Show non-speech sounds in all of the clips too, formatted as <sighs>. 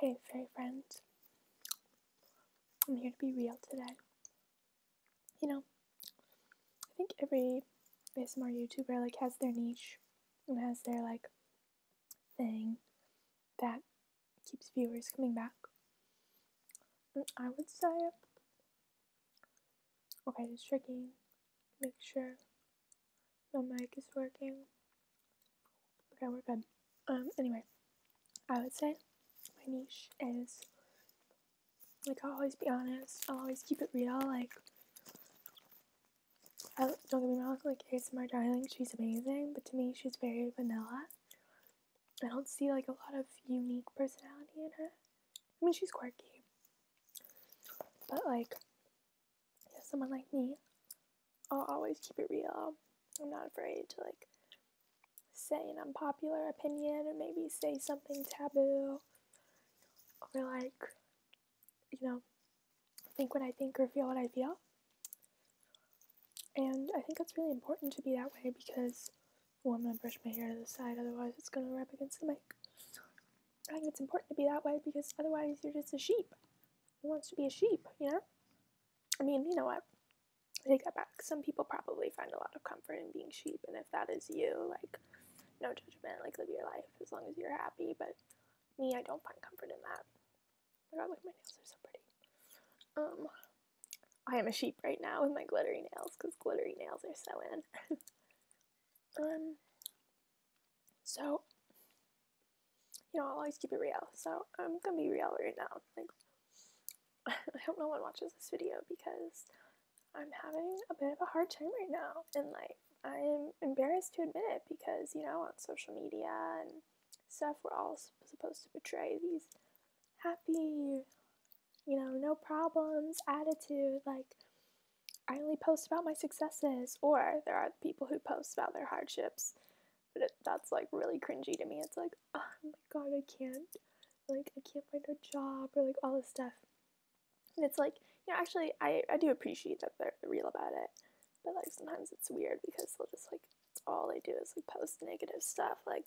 Hey, fairy friends. I'm here to be real today. You know, I think every ASMR YouTuber like has their niche and has their like thing that keeps viewers coming back. And I would say, okay, it's checking, make sure the mic is working. Okay, we're good. Um, anyway, I would say my niche is like I'll always be honest. I'll always keep it real. Like, I, don't get me wrong. Like, ASMR darling, she's amazing, but to me, she's very vanilla. I don't see like a lot of unique personality in her. I mean, she's quirky, but like if someone like me, I'll always keep it real. I'm not afraid to like say an unpopular opinion or maybe say something taboo or like, you know, think what I think or feel what I feel. And I think it's really important to be that way because I'm gonna brush my hair to the side, otherwise it's gonna rub against the mic. I think it's important to be that way because otherwise you're just a sheep. Who wants to be a sheep, you know? I mean, you know what? I take that back. Some people probably find a lot of comfort in being sheep, and if that is you, like, no judgment, like, live your life as long as you're happy. But me, I don't find comfort in that. I got like my nails are so pretty. Um, I am a sheep right now with my glittery nails because glittery nails are so in. <laughs> Um, so, you know, I always keep it real, so I'm gonna be real right now. Like, <laughs> I hope no one watches this video because I'm having a bit of a hard time right now, and like, I'm embarrassed to admit it because, you know, on social media and stuff, we're all supposed to portray these happy, you know, no problems attitude. Like, I only post about my successes, or there are people who post about their hardships. But it, that's like really cringy to me. It's like, oh my god, I can't, like, I can't find a job, or like all this stuff. And it's like, you know, actually, I, I do appreciate that they're real about it. But like sometimes it's weird because they'll just like, all they do is like post negative stuff. Like,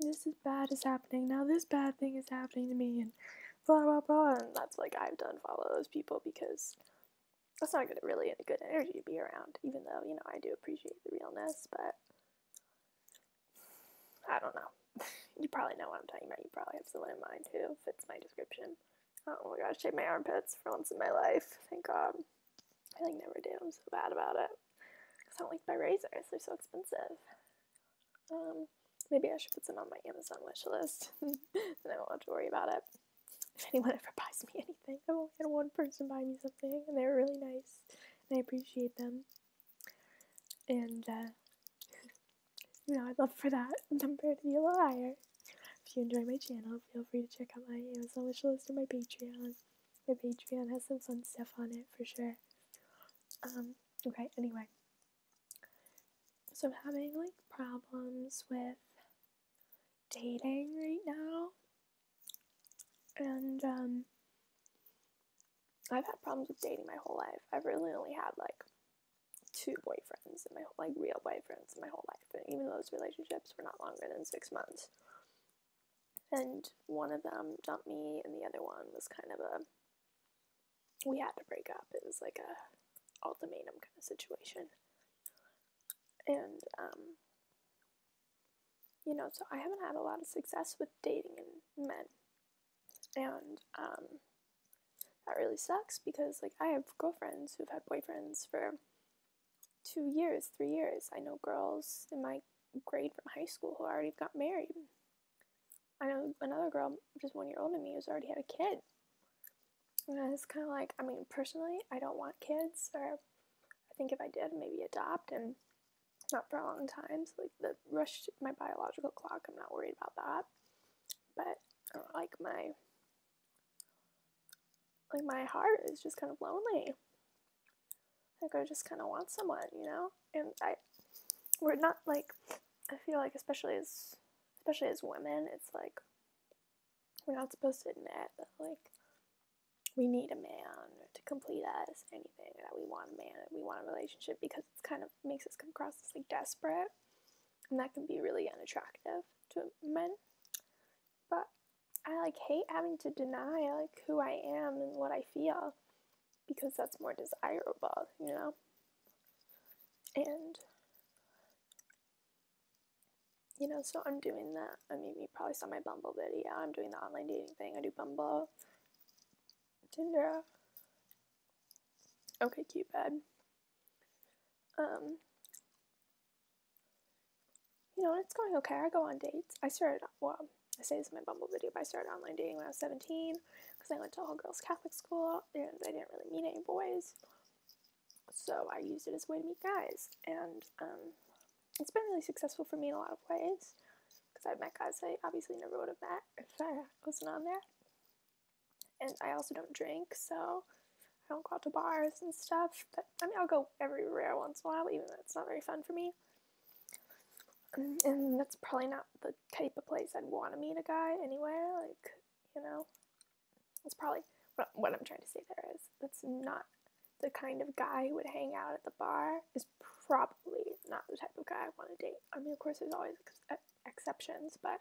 this is bad is happening, now this bad thing is happening to me. And blah blah blah and that's like I've done follow those people because that's not gonna really any good energy to be around, even though, you know, I do appreciate the realness, but I don't know. <laughs> you probably know what I'm talking about. You probably have someone in mind who fits my description. Oh my gosh, shave my armpits for once in my life. Thank God. I like never do. I'm so bad about it. Because I don't like my razors. They're so expensive. Um, Maybe I should put some on my Amazon wish list. then <laughs> I do not have to worry about it. If anyone ever buys me anything, I've only had one person buy me something, and they were really nice, and I appreciate them. And, uh, <laughs> you know, I'd love for that <laughs> number to be a little higher. If you enjoy my channel, feel free to check out my Amazon wish list or my Patreon. My Patreon has some fun stuff on it for sure. Um, okay, anyway, so I'm having like problems with dating right now. And um, I've had problems with dating my whole life. I've really only had like two boyfriends in my whole, like real boyfriends in my whole life. And even those relationships were not longer than six months. And one of them dumped me, and the other one was kind of a we had to break up. It was like a ultimatum kind of situation. And um you know, so I haven't had a lot of success with dating men. And um that really sucks because like I have girlfriends who've had boyfriends for two years, three years. I know girls in my grade from high school who already got married. I know another girl, just one year older than me, who's already had a kid. And it's kind of like, I mean, personally, I don't want kids, or I think if I did, maybe adopt, and not for a long time. So, like, the rush to my biological clock, I'm not worried about that. But, like, my, like, my heart is just kind of lonely. Like, I just kind of want someone, you know? And I, we're not, like, I feel like, especially as especially as women, it's like we're not supposed to admit that like we need a man to complete us anything that we want a man we want a relationship because it's kind of makes us come across as like desperate and that can be really unattractive to men but i like hate having to deny like who i am and what i feel because that's more desirable you know and you know, so I'm doing that. I mean, you probably saw my Bumble video. I'm doing the online dating thing. I do Bumble, Tinder. Okay, cute Cupid. Um, you know, it's going okay. I go on dates. I started, well, I say this in my Bumble video, but I started online dating when I was 17 because I went to a all girls Catholic school and I didn't really meet any boys. So I used it as a way to meet guys, and um, it's been really successful for me in a lot of ways because i met guys I obviously never would have met <laughs> if I wasn't on there. And I also don't drink, so I don't go out to bars and stuff. But I mean, I'll go everywhere once in a while, even though it's not very fun for me. And, mm, and that's probably not the type of place I'd want to meet a guy anyway. Like, you know? It's probably what, what I'm trying to say there is that's not the kind of guy who would hang out at the bar is probably not the type of guy I want to date. I mean, of course, there's always ex- exceptions, but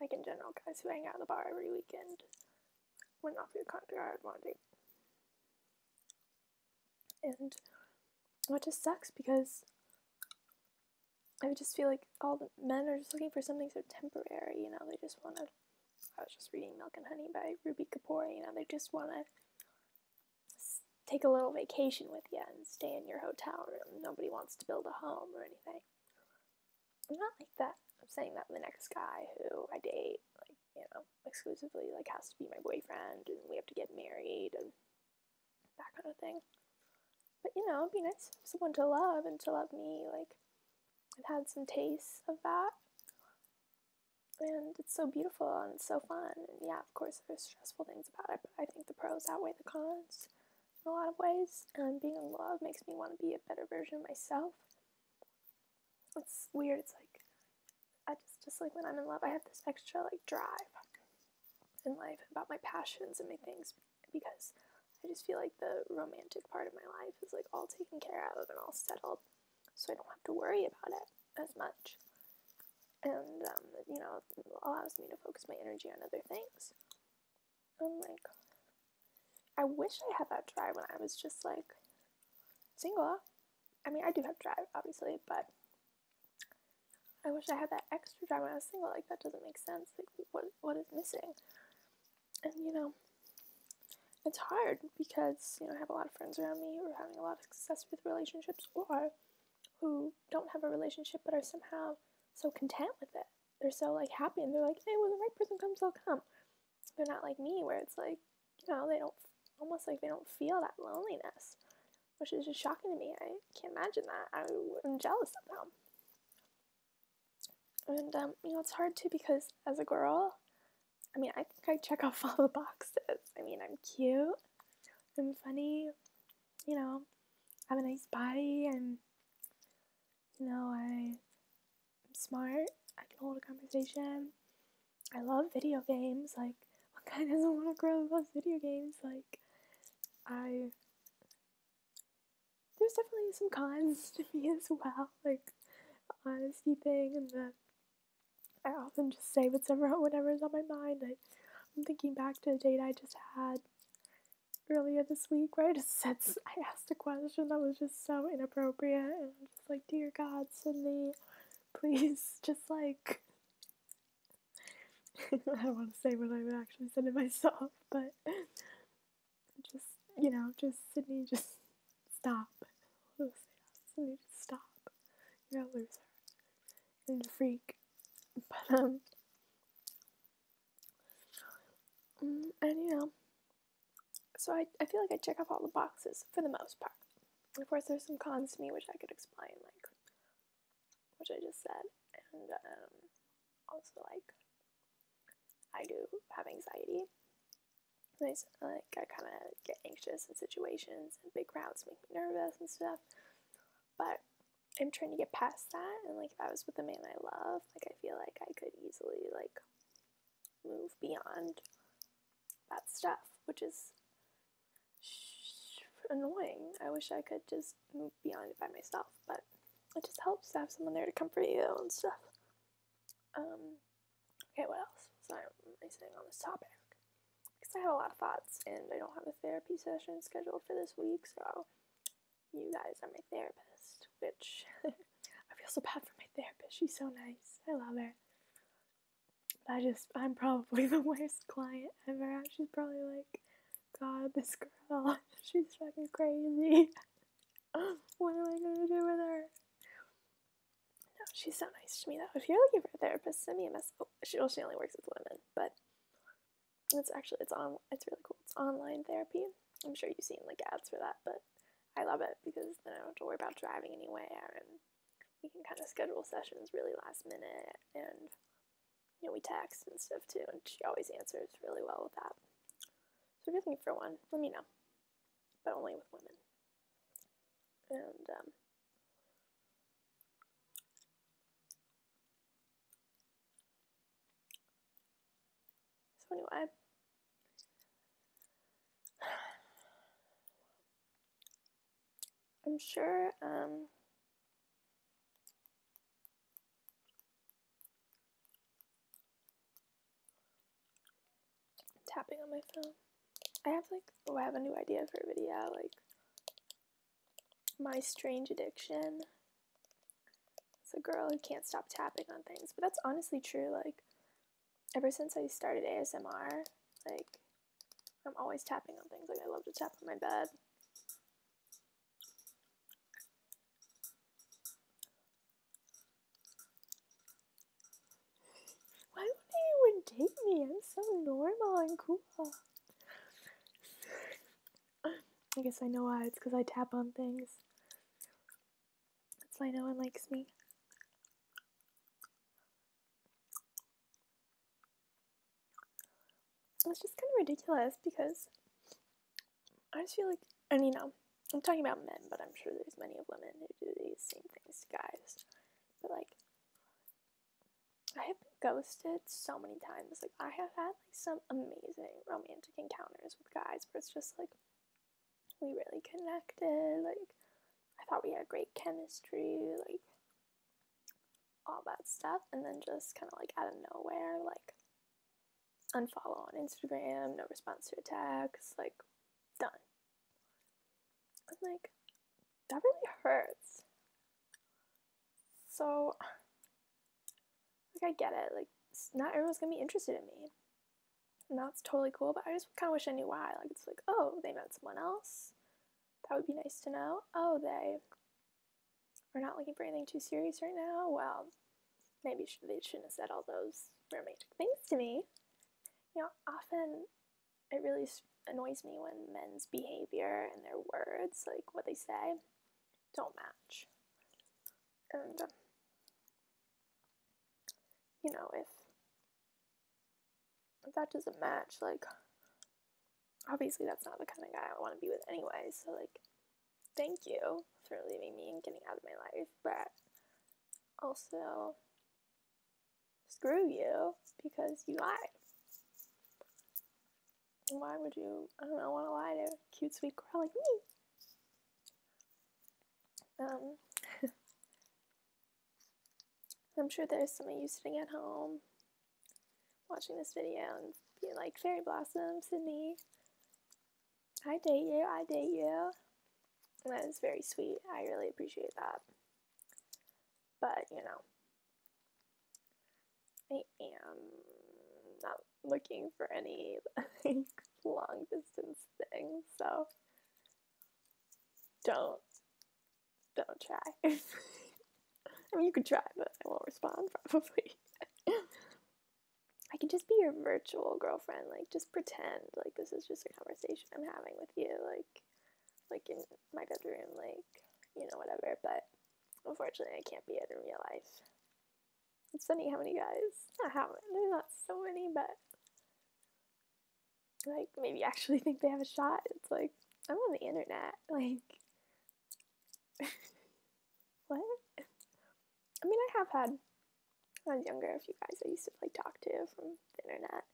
like in general, guys who hang out at the bar every weekend would not be the kind of guy I'd want to date. And well, just sucks because I would just feel like all the men are just looking for something so temporary, you know, they just want to. I was just reading Milk and Honey by Ruby Kapoor, you know, they just want to take a little vacation with you and stay in your hotel room. Nobody wants to build a home or anything. I'm not like that. I'm saying that the next guy who I date, like, you know, exclusively, like, has to be my boyfriend and we have to get married and that kind of thing. But you know, it'd be nice to have someone to love and to love me. Like, I've had some tastes of that. And it's so beautiful and so fun. And yeah, of course, there's stressful things about it, but I think the pros outweigh the cons in a lot of ways. And being in love makes me want to be a better version of myself. It's weird. It's like, I just, just like when I'm in love, I have this extra like drive in life about my passions and my things because I just feel like the romantic part of my life is like all taken care of and all settled, so I don't have to worry about it as much. And um, you know, allows me to focus my energy on other things. Oh my god! I wish I had that drive when I was just like single. I mean, I do have drive, obviously, but I wish I had that extra time when I was single. Like that doesn't make sense. Like what what is missing? And you know, it's hard because you know I have a lot of friends around me who are having a lot of success with relationships or who don't have a relationship but are somehow so content with it. They're so like happy and they're like, hey, when the right person comes, they'll come. They're not like me where it's like, you know, they don't almost like they don't feel that loneliness which is just shocking to me. I can't imagine that. I, am jealous of them. And, um, you know, it's hard too because as a girl, I mean, I think I check off <laughs> all the boxes. I mean, I'm cute, I'm funny, you know, I have a nice body, and, you know, I, am smart, I can hold a conversation. I love video games. Like, what kind <laughs> doesn't want to grow up loves video games? Like, I there's definitely some cons to me <laughs> as well, like the honesty thing and the I often just say whatever <laughs> whatever's on my mind. I, am thinking back to a date I just had earlier this week where I <laughs> said I asked a question that was just so inappropriate and I'm just like, dear God, Sydney, please just like <laughs> I don't want to say what I would actually say to myself, <laughs> but just, you know, just Sydney, just stop. Just, <laughs> oh, Sydney, just stop. You're a loser. And a freak. But, um, and mm, you know, so I, I feel like I check off all the boxes for the most part. Of course, there's some cons to me, which I could explain, like which I just said, and um, also like I do have anxiety. I, like I kind of get anxious in situations, and big crowds make me nervous and stuff. But I'm trying to get past that, and like if I was with the man I love, like I feel like I could easily like move beyond that stuff, which is annoying. I wish I could just just move beyond it by myself, but it just helps to have someone there to comfort you and stuff. Um, okay, what else? Sorry, am I saying on this topic? Because I have a lot of thoughts, and I don't have a therapy session scheduled for this week, so you guys are my therapist, which <laughs> I feel so bad for my therapist. She's so nice. I love her. I just, I'm probably <laughs> the worst client ever. She's probably like, God, this girl, <laughs> she's fucking crazy. <laughs> what am I gonna do with her? No, she's so nice to me though. If you're looking for a therapist, send me a message. Oh, she, well, she only works with women, but it's actually it's on it's really cool. It's online therapy. I'm sure you've seen like ads for that, but I love it because then I don't have to worry about driving anywhere, and we can kind of schedule sessions really last minute, and you know, we text and stuff too, and she always answers really well with that. So if you're looking for one, let me know. But only with women. And um, so anyway. <sighs> I'm sure um, tapping on my phone. I have like oh I have a new idea for a video like my strange addiction. It's a girl who can't stop tapping on things, but that's honestly true. Like ever since I started ASMR, like I'm always tapping on things. Like I love to tap on my bed. Why wouldn't anyone date me? I'm so normal and cool. I guess I know why. It's because I tap on things. That's why no one likes me it's just kind of ridiculous because I just feel like, and you um, know, I'm talking about men, but I'm sure there's many of women who do these same things to guys. But like, I have ghosted so many times. Like, I have had like some amazing romantic encounters with guys where it's just like we really connected. Like, I thought we had great chemistry. Like, all that stuff and then just kind of like out of nowhere like unfollow on Instagram, no response to attacks, like done. I'm like that really hurts. So like I get it, like not everyone's gonna be interested in me. And that's totally cool, but I just kind of wish I knew why. Like, it's like, oh, they met someone else. That would be nice to know. Oh, they we're not looking for anything too serious right now. Well, maybe they shouldn't have said all those romantic things to me. You know, often it really annoys me when men's behavior and their words, like what they say, don't match. And, um, you know, if that doesn't match, like, obviously that's not the kind of guy I want to be with anyway, so like thank you for leaving me and getting out of my life, but also screw you because you lied. why would you, I don't want to lie to a cute, sweet girl like me? Um, <laughs> I'm sure there's some of you sitting at home watching this video and being like, Fairy Blossom, Sydney, I date you, I date you. And that is very sweet. I really appreciate that. But, you know, I am not looking for any long distance thing, so don't don't try. <laughs> I mean, you could try, but I won't respond probably. I can just be your virtual girlfriend. Like, just pretend like this is just a conversation I'm having with you. Like, like in my bedroom. Like, you know, whatever. But unfortunately, I can't be it in real life. It's funny how many guys. Not have. There's not so many, but like maybe actually think they have a shot. It's like I'm on the internet. <laughs> Like, <laughs> what? I mean, I have had, when I was younger, a few guys I used to like talk to from the internet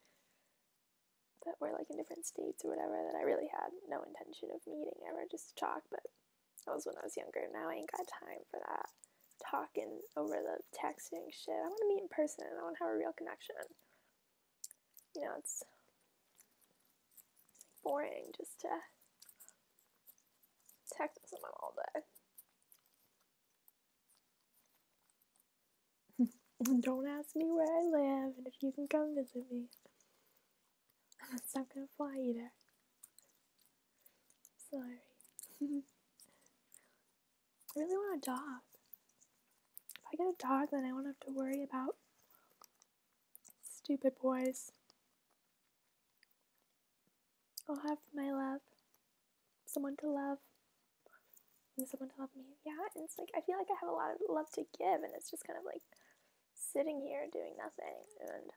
but we're like in different states or whatever that I really had no intention of meeting ever just talk, but that was when I was younger. Now I ain't got time for that talking over the texting shit. I want to meet in person. I want to have a real connection you know, it's boring just to text with someone all day. <laughs> Don't ask me where I live and if you can come visit me. That's not gonna fly either. Sorry. <laughs> I really want a dog. If I get a dog, then I won't have to worry about Stupid boys. I'll have my love, someone to love, someone to love me. Yeah, and it's like I feel like I have a lot of love to give, and it's just kind of like sitting here doing nothing. And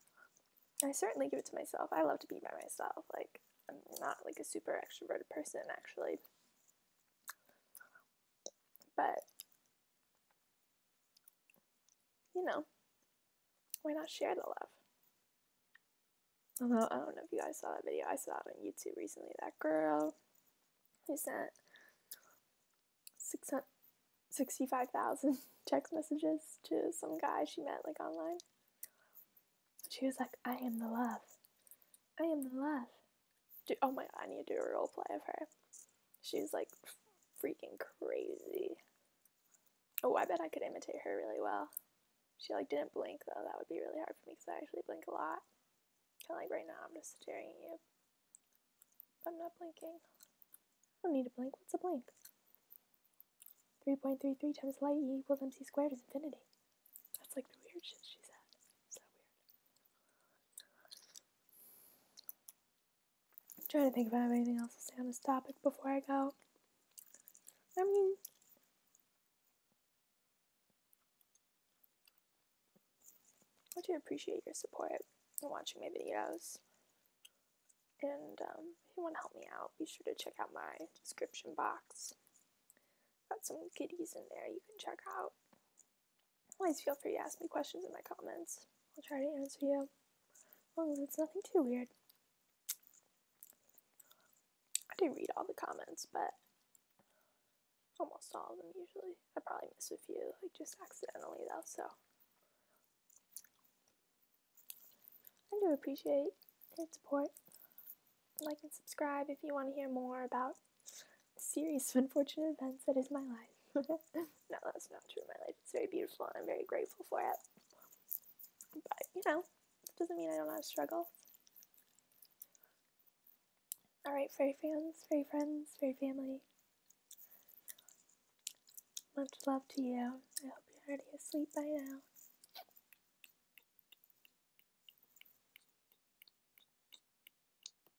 I certainly give it to myself. I love to be by myself. Like I'm not like a super extroverted person actually, but you know, why not share the love? Although I don't know if you guys saw that video, I saw it on YouTube recently. That girl who sent 65,000 <laughs> text messages to some guy she met like online. She was like, I am the love. I am the love oh my god, I need to do a role play of her. She's like freaking crazy. Oh, I bet I could imitate her really well. She like didn't blink though. That would be really hard for me because I actually blink a lot. like right now, I'm just staring at you. I'm not blinking. I don't need to blink. What's a blink? 3.33 times light e equals mc squared is infinity. That's like the weird shit she said. So weird. I'm trying to think if I have anything else to say on this topic before I go. I mean, I do appreciate your support and watching my videos. And um, if you want to help me out, be sure to check out my description box. Got some goodies in there you can check out. Always feel free to ask me questions in my comments. I'll try to answer you. As long as it's nothing too weird. I didn't read all the comments, but almost all of them usually. I probably miss a few, like just accidentally though, so. I do appreciate your support. Like and subscribe if you want to hear more about series of <laughs> unfortunate events that is my life. <laughs> no, that's not true. My life is very beautiful and I'm very grateful for it. But, you know, it doesn't mean I don't have struggles. Alright, fairy fans, fairy friends, fairy family. Much love to you. I hope you're already asleep by now.